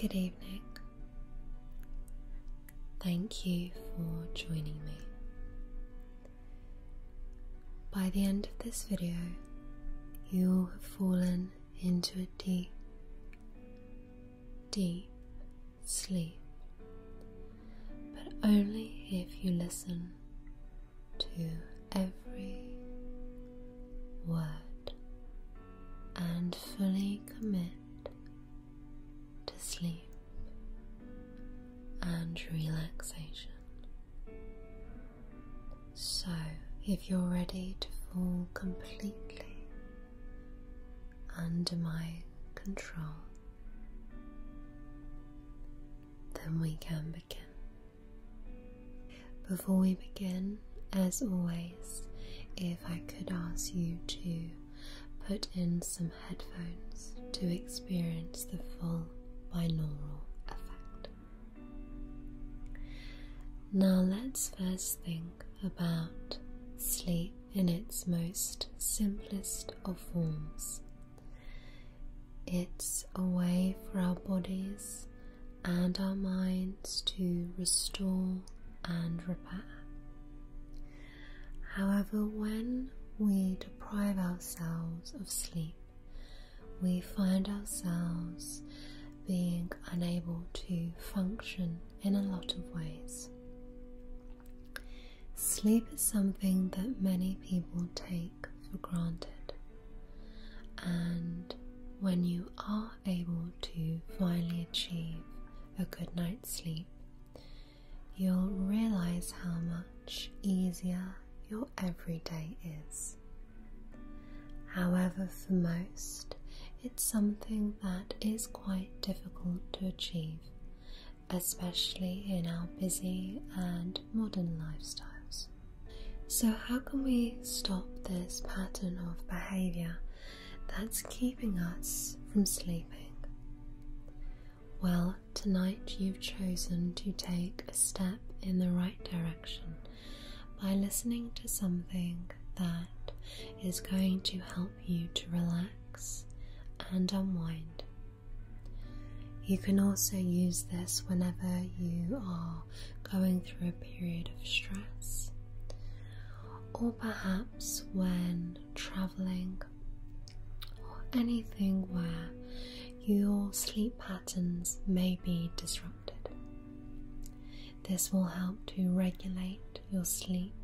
Good evening. Thank you for joining me. By the end of this video, you will have fallen into a deep, deep sleep, but only if you listen to every word and fully commit to sleep and relaxation. So, if you're ready to fall completely under my control, then we can begin. Before we begin, as always, if I could ask you to put in some headphones to experience the full binaural effect. Now, let's first think about sleep in its most simplest of forms. It's a way for our bodies and our minds to restore and repair. However, when we deprive ourselves of sleep, we find ourselves being unable to function in a lot of ways. Sleep is something that many people take for granted, and when you are able to finally achieve a good night's sleep, you'll realize how much easier your everyday is. However, for most, it's something that is quite difficult to achieve, especially in our busy and modern lifestyles. So, how can we stop this pattern of behavior that's keeping us from sleeping. Well, tonight you've chosen to take a step in the right direction by listening to something that is going to help you to relax and unwind. You can also use this whenever you are going through a period of stress, or perhaps when traveling, or anything where your sleep patterns may be disrupted. This will help to regulate your sleep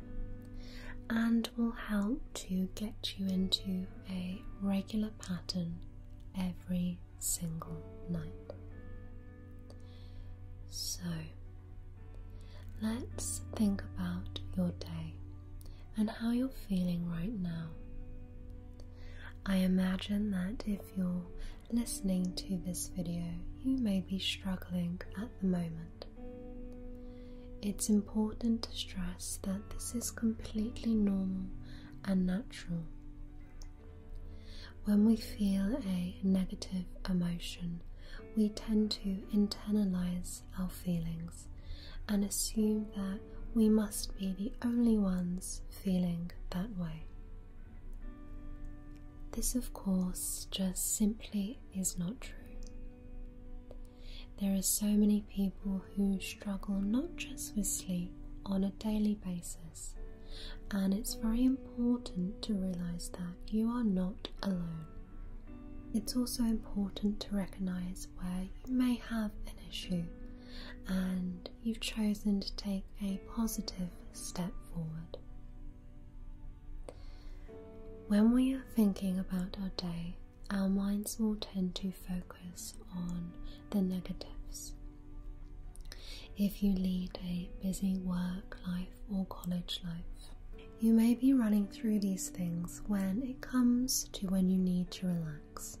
and will help to get you into a regular pattern every single night. So, let's think about your day and how you're feeling right now. I imagine that if you're listening to this video, you may be struggling at the moment. It's important to stress that this is completely normal and natural, when we feel a negative emotion, we tend to internalize our feelings and assume that we must be the only ones feeling that way. This, of course, just simply is not true. There are so many people who struggle not just with sleep on a daily basis and it's very important to realize that you are not alone. It's also important to recognize where you may have an issue and you've chosen to take a positive step forward. When we are thinking about our day, our minds will tend to focus on the negatives. If you lead a busy work life, or college life. You may be running through these things when it comes to when you need to relax.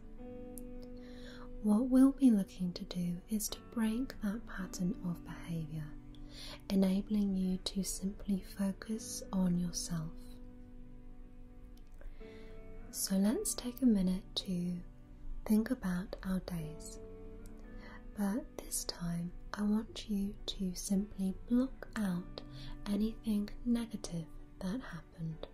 What we'll be looking to do is to break that pattern of behaviour, enabling you to simply focus on yourself. So let's take a minute to think about our days, but this time, I want you to simply block out anything negative that happened,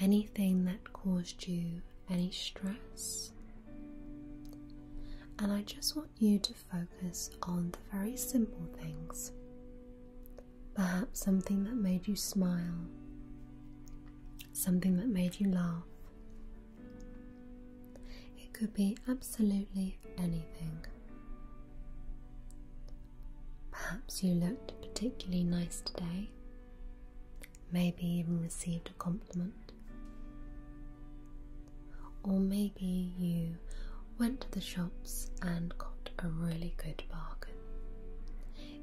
anything that caused you any stress. And I just want you to focus on the very simple things. Perhaps something that made you smile, something that made you laugh, it could be absolutely anything. Perhaps you looked particularly nice today, maybe even received a compliment. Or maybe you went to the shops and got a really good bargain.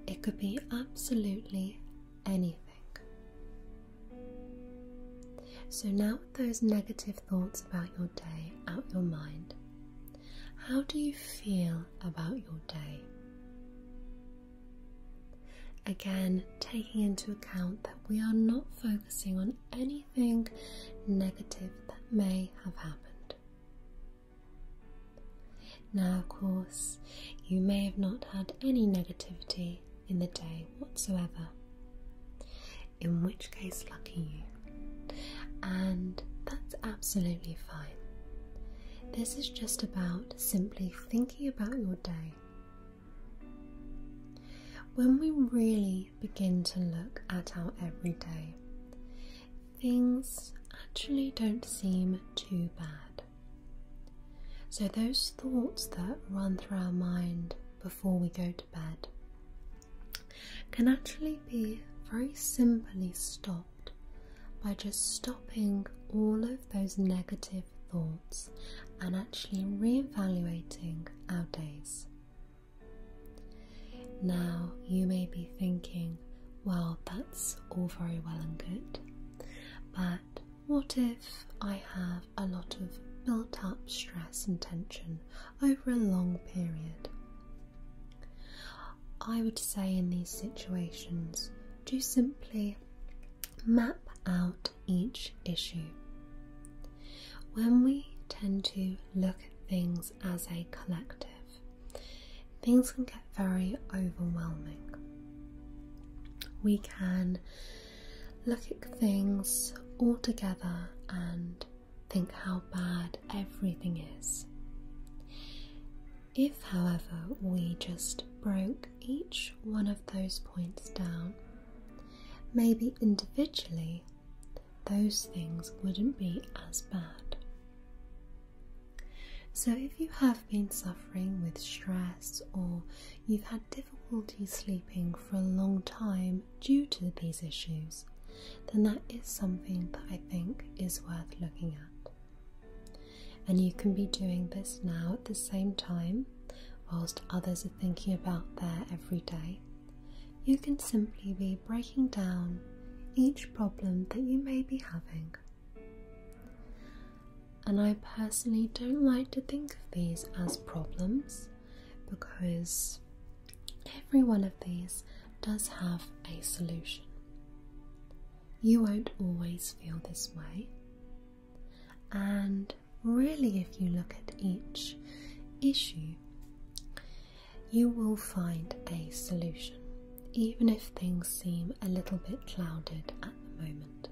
It could be absolutely anything. So, now with those negative thoughts about your day out your mind, how do you feel about your day? Again, taking into account that we are not focusing on anything negative that may have happened. Now, of course, you may have not had any negativity in the day whatsoever. In which case, lucky you. And that's absolutely fine. This is just about simply thinking about your day. When we really begin to look at our everyday, things actually don't seem too bad. So, those thoughts that run through our mind before we go to bed can actually be very simply stopped by just stopping all of those negative thoughts and actually re-evaluating our days. Now, you may be thinking, well, that's all very well and good, but what if I have a lot of built up stress and tension over a long period? I would say in these situations, do simply map out each issue. When we tend to look at things as a collective, things can get very overwhelming. We can look at things all together and think how bad everything is. If, however, we just broke each one of those points down, maybe individually those things wouldn't be as bad. So, if you have been suffering with stress or you've had difficulty sleeping for a long time due to these issues, then that is something that I think is worth looking at. And you can be doing this now at the same time, whilst others are thinking about their everyday. You can simply be breaking down each problem that you may be having and I personally don't like to think of these as problems because every one of these does have a solution. You won't always feel this way, and really, if you look at each issue, you will find a solution, even if things seem a little bit clouded at the moment.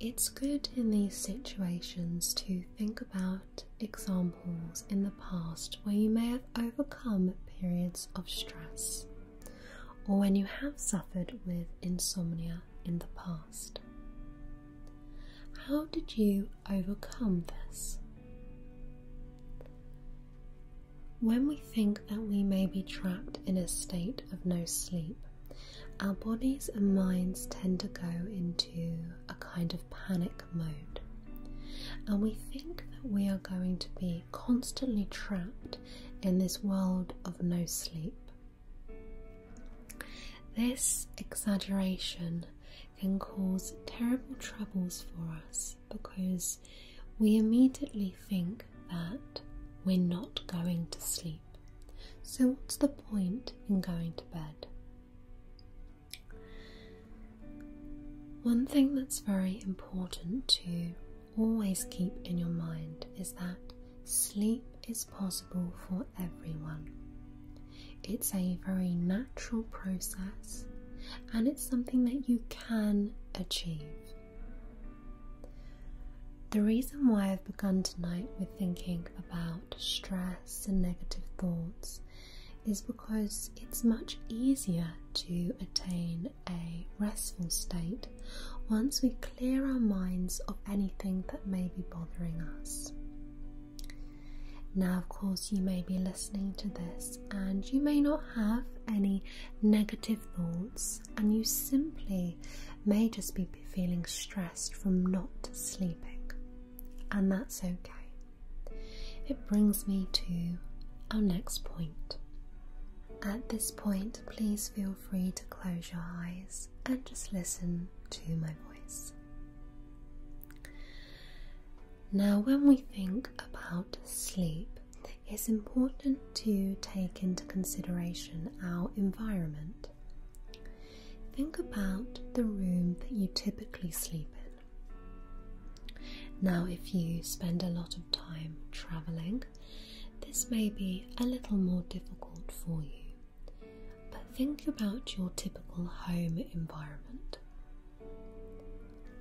It's good in these situations to think about examples in the past where you may have overcome periods of stress or when you have suffered with insomnia in the past. How did you overcome this? When we think that we may be trapped in a state of no sleep, our bodies and minds tend to go into a kind of panic mode. And we think that we are going to be constantly trapped in this world of no sleep. This exaggeration can cause terrible troubles for us because we immediately think that we're not going to sleep. So, what's the point in going to bed? One thing that's very important to always keep in your mind is that sleep is possible for everyone. It's a very natural process and it's something that you can achieve. The reason why I've begun tonight with thinking about stress and negative thoughts is because it's much easier to attain a restful state once we clear our minds of anything that may be bothering us. Now, of course, you may be listening to this and you may not have any negative thoughts, and you simply may just be feeling stressed from not sleeping, and that's okay. It brings me to our next point. At this point, please feel free to close your eyes and just listen to my voice. Now, when we think about sleep, it's important to take into consideration our environment. Think about the room that you typically sleep in. Now, if you spend a lot of time travelling, this may be a little more difficult for you. But think about your typical home environment.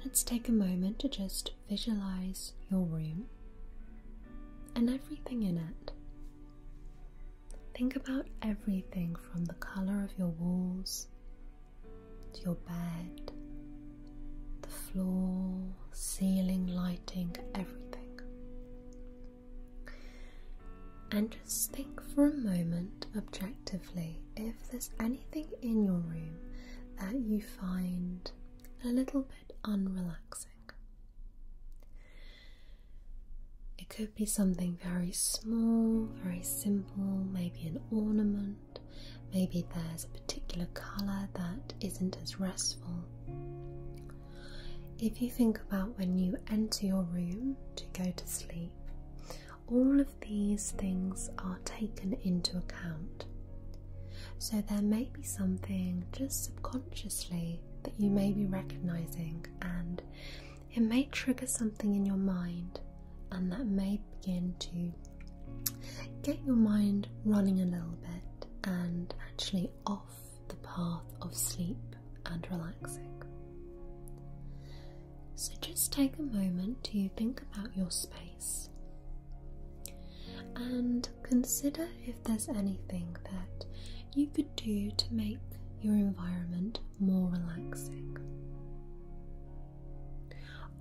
Let's take a moment to just visualize your room and everything in it. Think about everything from the color of your walls to your bed, the floor, ceiling, lighting, everything. And just think for a moment objectively if there's anything in your room that you find a little bit unrelaxing. It could be something very small, very simple, maybe an ornament, maybe there's a particular colour that isn't as restful. If you think about when you enter your room to go to sleep, all of these things are taken into account. So there may be something just subconsciously that you may be recognizing, and it may trigger something in your mind, and that may begin to get your mind running a little bit and actually off the path of sleep and relaxing. So just take a moment to think about your space. And consider if there's anything that you could do to make your environment more relaxing.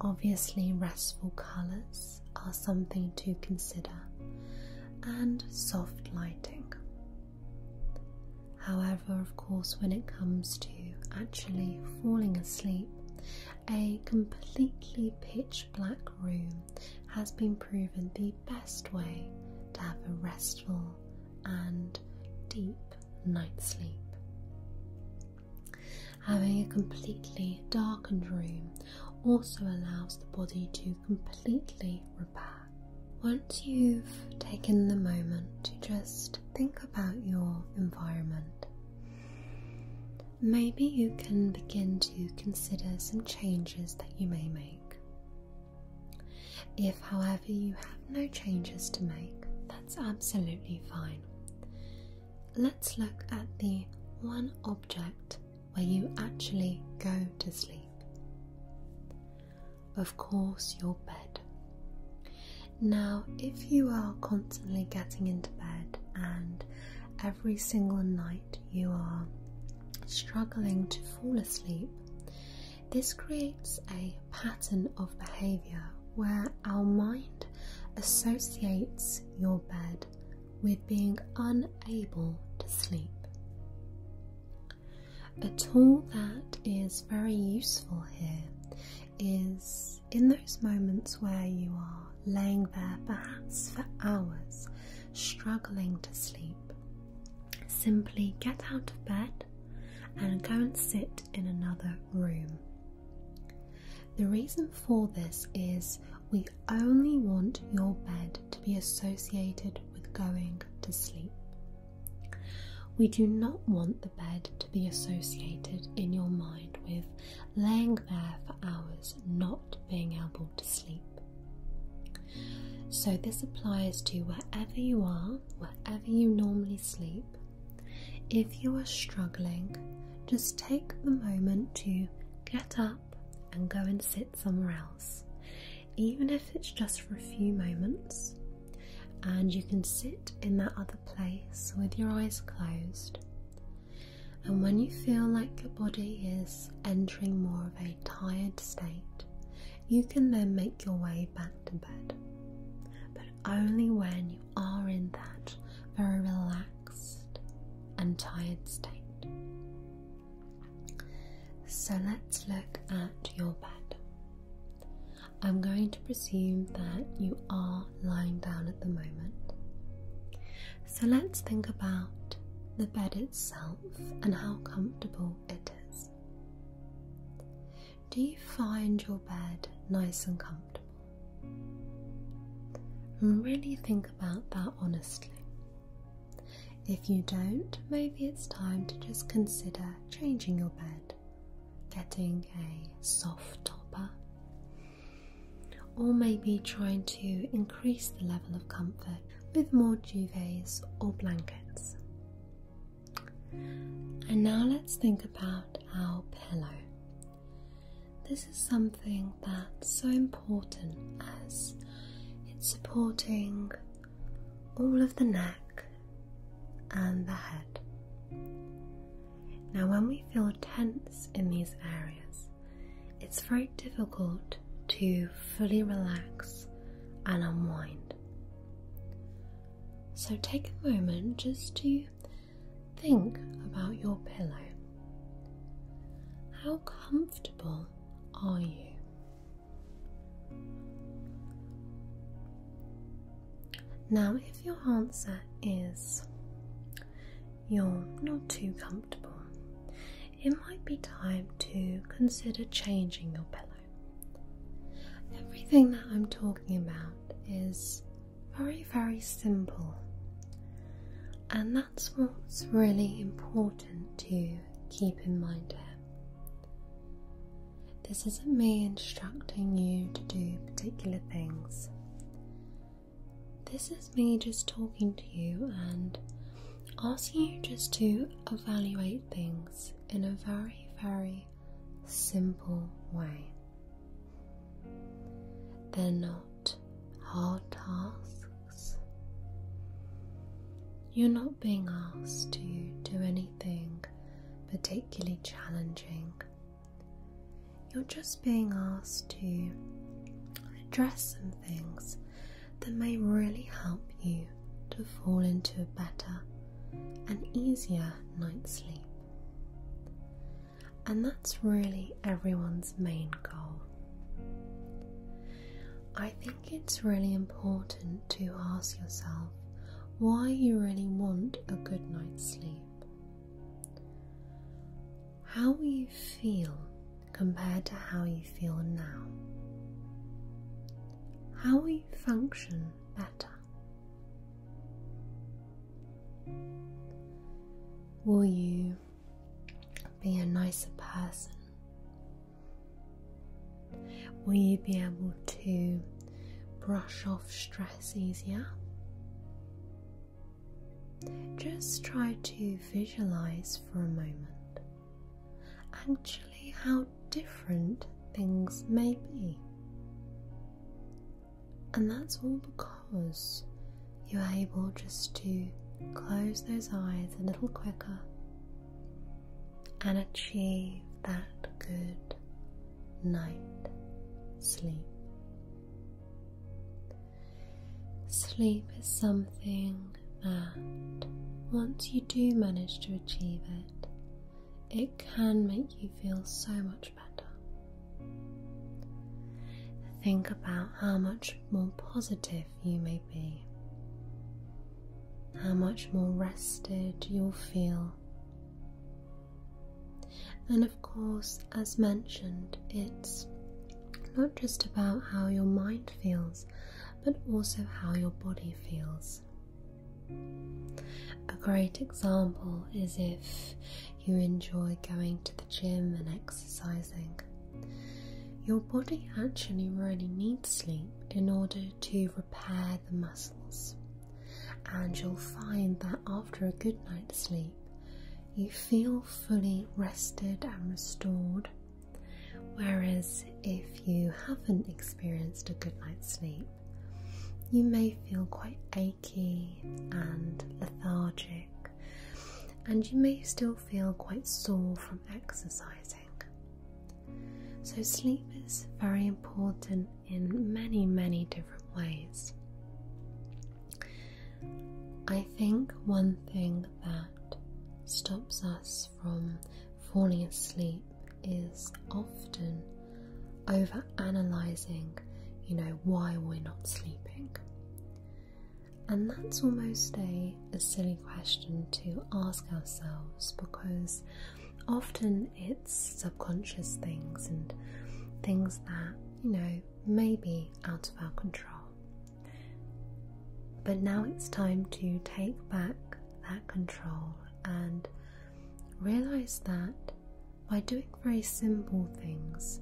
Obviously, restful colours are something to consider, and soft lighting. However, of course, when it comes to actually falling asleep, a completely pitch black room has been proven the best way to have a restful and deep night's sleep. Having a completely darkened room also allows the body to completely repair. Once you've taken the moment to just think about your environment, maybe you can begin to consider some changes that you may make. If, however, you have no changes to make, that's absolutely fine. Let's look at the one object where you actually go to sleep. Of course, your bed. Now, if you are constantly getting into bed and every single night you are struggling to fall asleep, this creates a pattern of behavior where our mind associates your bed with being unable to sleep. A tool that is very useful here is in those moments where you are laying there perhaps for hours, struggling to sleep. Simply get out of bed and go and sit in another room. The reason for this is we only want your bed to be associated with going to sleep. We do not want the bed to be associated in your mind with laying there for hours, not being able to sleep. So, this applies to wherever you are, wherever you normally sleep. If you are struggling, just take the moment to get up and go and sit somewhere else, even if it's just for a few moments. And you can sit in that other place with your eyes closed. And when you feel like your body is entering more of a tired state, you can then make your way back to bed. But only when you are in that very relaxed and tired state. So let's look at your bed. I'm going to presume that you are lying down at the moment. So let's think about the bed itself and how comfortable it is. Do you find your bed nice and comfortable? And really think about that honestly. If you don't, maybe it's time to just consider changing your bed, getting a soft topper or maybe trying to increase the level of comfort with more duvets or blankets. And now let's think about our pillow. This is something that's so important as it's supporting all of the neck and the head. Now, when we feel tense in these areas, it's very difficult to fully relax and unwind. So take a moment just to think about your pillow. How comfortable are you? Now, if your answer is you're not too comfortable, it might be time to consider changing your pillow. Everything that I'm talking about is very, very simple, and that's what's really important to keep in mind here. This isn't me instructing you to do particular things. This is me just talking to you and asking you just to evaluate things in a very, very simple way. They're not hard tasks. You're not being asked to do anything particularly challenging. You're just being asked to address some things that may really help you to fall into a better and easier night's sleep. And that's really everyone's main goal. I think it's really important to ask yourself why you really want a good night's sleep. How will you feel compared to how you feel now? How will you function better? Will you be a nicer person? Will you be able to brush off stress easier? Just try to visualize for a moment actually how different things may be. And that's all because you're able just to close those eyes a little quicker and achieve that good night sleep. Sleep is something that, once you do manage to achieve it, it can make you feel so much better. Think about how much more positive you may be, how much more rested you'll feel. And of course, as mentioned, it's not just about how your mind feels, but also how your body feels. A great example is if you enjoy going to the gym and exercising. Your body actually really needs sleep in order to repair the muscles, and you'll find that after a good night's sleep you feel fully rested and restored. Whereas if you haven't experienced a good night's sleep, you may feel quite achy and lethargic, and you may still feel quite sore from exercising. So, sleep is very important in many, many different ways. I think one thing that stops us from falling asleep is often over analyzing, you know, why we're not sleeping. And that's almost a, silly question to ask ourselves because often it's subconscious things and things that, you know, may be out of our control. But now it's time to take back that control and realize that by doing very simple things,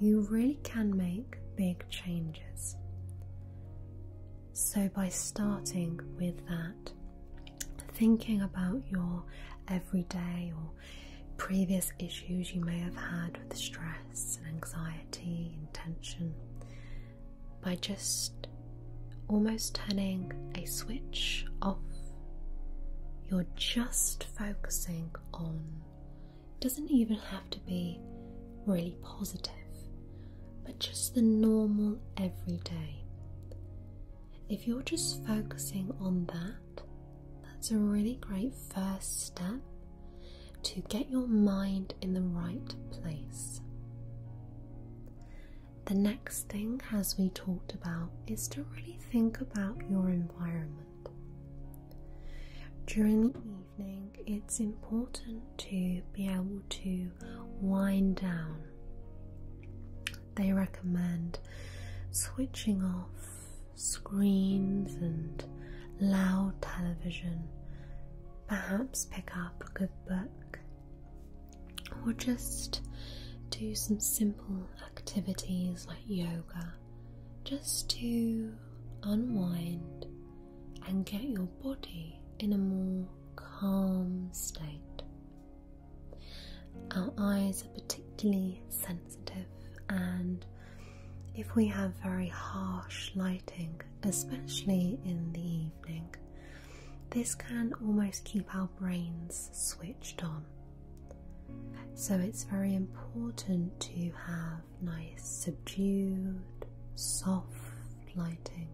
you really can make big changes. So, by starting with that, thinking about your everyday or previous issues you may have had with stress and anxiety and tension by just almost turning a switch off. You're just focusing on, it doesn't even have to be really positive, but just the normal everyday. If you're just focusing on that, that's a really great first step to get your mind in the right place. The next thing, as we talked about, is to really think about your environment. During the evening, it's important to be able to wind down. They recommend switching off screens and loud television, perhaps pick up a good book or just do some simple activities like yoga just to unwind and get your body in a more calm state. Our eyes are particularly sensitive and if we have very harsh lighting, especially in the evening, this can almost keep our brains switched on. So it's very important to have nice, subdued, soft lighting.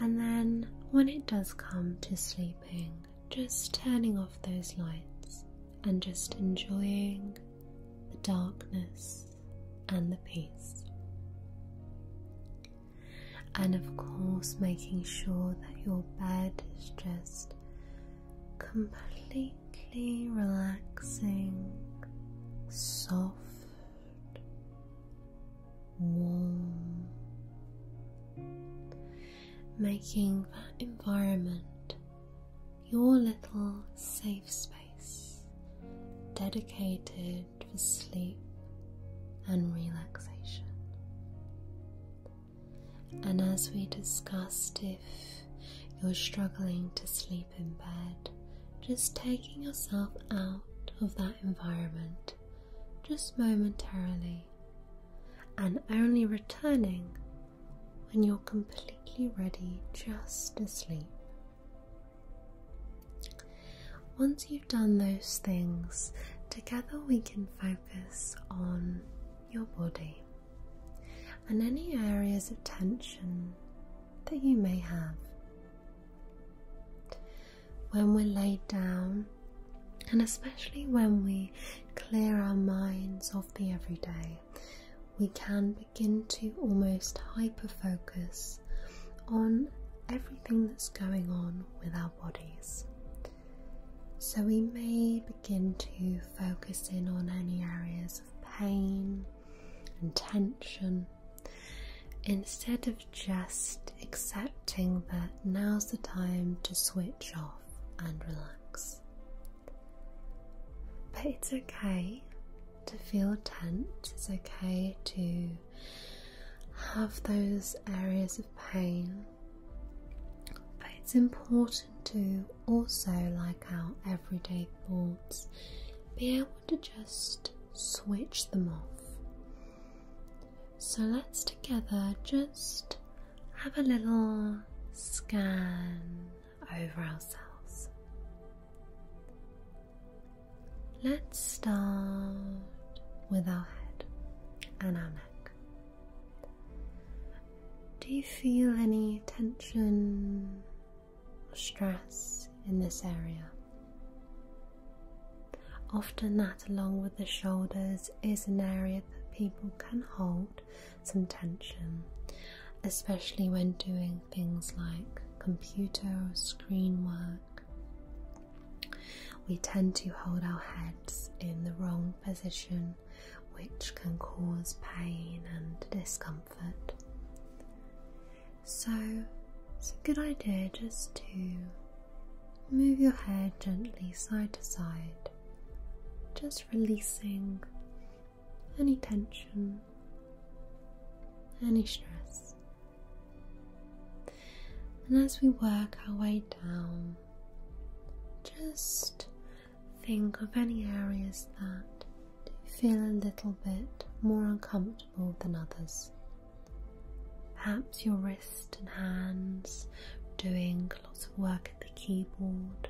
And then when it does come to sleeping, just turning off those lights and just enjoying the darkness, and the peace. And of course, making sure that your bed is just completely relaxing, soft, warm, making that environment your little safe space dedicated for sleep and relaxation. And as we discussed, if you're struggling to sleep in bed, just taking yourself out of that environment just momentarily and only returning when you're completely ready just to sleep. Once you've done those things, together we can focus on your body and any areas of tension that you may have. When we're laid down, and especially when we clear our minds of the everyday, we can begin to almost hyper focus on everything that's going on with our bodies. So we may begin to focus in on any areas of pain and tension instead of just accepting that now's the time to switch off and relax. But it's okay to feel tense, it's okay to have those areas of pain. But it's important to also, like our everyday thoughts, be able to just switch them off. So let's together just have a little scan over ourselves. Let's start with our head and our neck. Do you feel any tension or stress in this area? Often, that along with the shoulders is an area that people can hold some tension, especially when doing things like computer or screen work. We tend to hold our heads in the wrong position, which can cause pain and discomfort. So, it's a good idea just to move your head gently side to side, just releasing any tension, any stress. And as we work our way down, just think of any areas that do feel a little bit more uncomfortable than others. Perhaps your wrists and hands doing lots of work at the keyboard,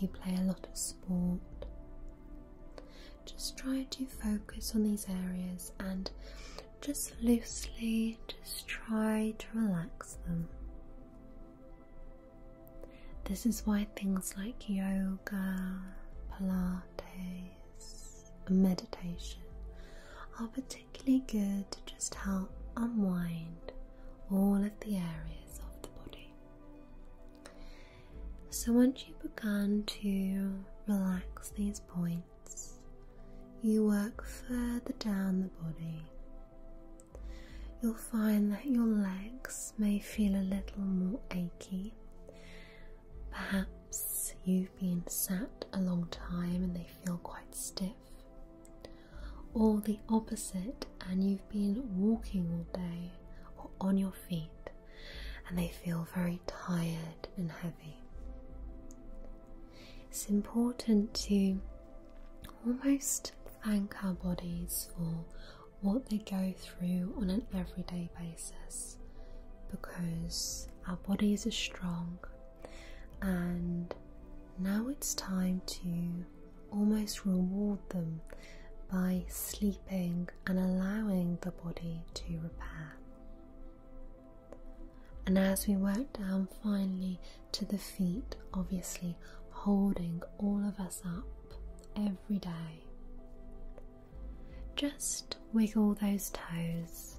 you play a lot of sport. Just try to focus on these areas and just loosely just try to relax them. This is why things like yoga, Pilates, meditation are particularly good to just help unwind all of the areas of the body. So, once you've begun to relax these points, you work further down the body. You'll find that your legs may feel a little more achy. Perhaps you've been sat a long time and they feel quite stiff or the opposite, and you've been walking all day or on your feet and they feel very tired and heavy. It's important to almost thank our bodies for what they go through on an everyday basis because our bodies are strong and now it's time to almost reward them by sleeping and allowing the body to repair. And as we work down finally to the feet, obviously holding all of us up every day, just wiggle those toes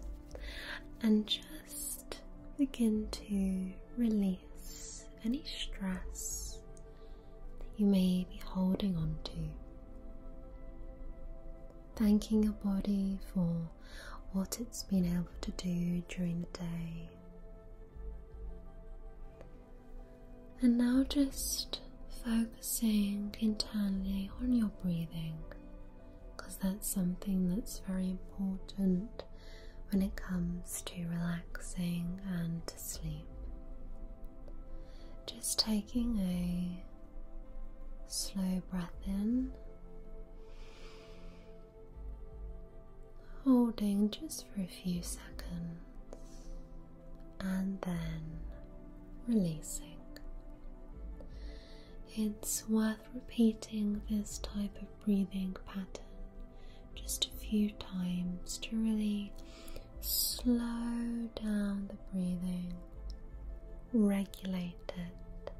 and just begin to release any stress that you may be holding on to. Thanking your body for what it's been able to do during the day. And now just focusing internally on your breathing because that's something that's very important when it comes to relaxing and to sleep. Just taking a slow breath in, holding just for a few seconds, and then releasing. It's worth repeating this type of breathing pattern just a few times to really slow down the breathing, regulate it,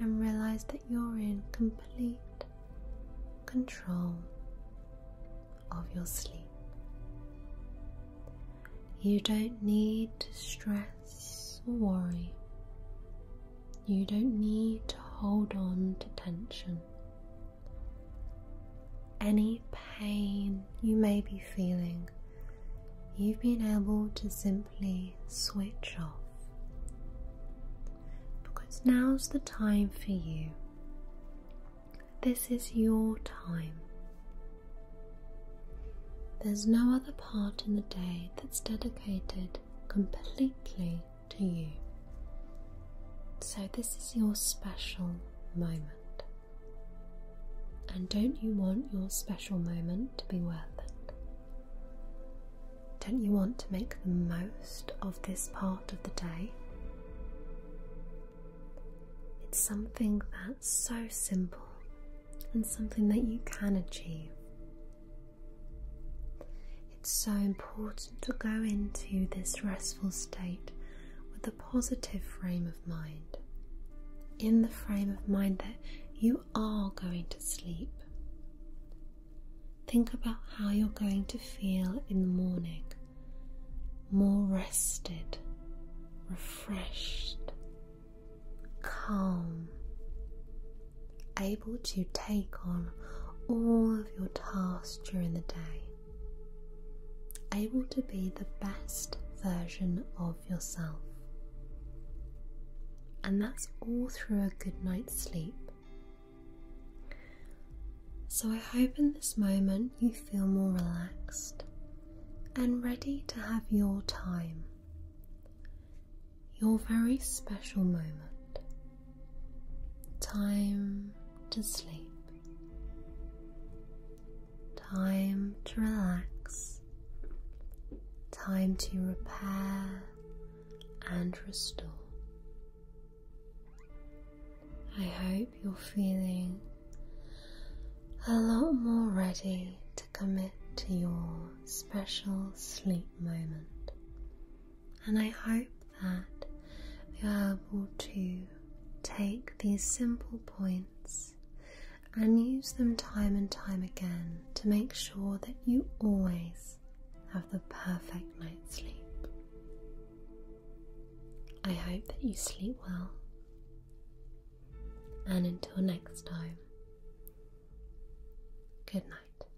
and realize that you're in complete control of your sleep. You don't need to stress or worry. You don't need to hold on to tension any pain you may be feeling, you've been able to simply switch off. Because now's the time for you. This is your time. There's no other part in the day that's dedicated completely to you. So, this is your special moment. And don't you want your special moment to be worth it? Don't you want to make the most of this part of the day? It's something that's so simple and something that you can achieve. It's so important to go into this restful state with a positive frame of mind. In the frame of mind that you are going to sleep. Think about how you're going to feel in the morning. More rested, refreshed, calm, able to take on all of your tasks during the day able to be the best version of yourself. And that's all through a good night's sleep. So I hope in this moment you feel more relaxed and ready to have your time, your very special moment. Time to sleep. Time to relax. Time to repair and restore. I hope you're feeling a lot more ready to commit to your special sleep moment and I hope that you are able to take these simple points and use them time and time again to make sure that you always have the perfect night's sleep. I hope that you sleep well, and until next time, good night.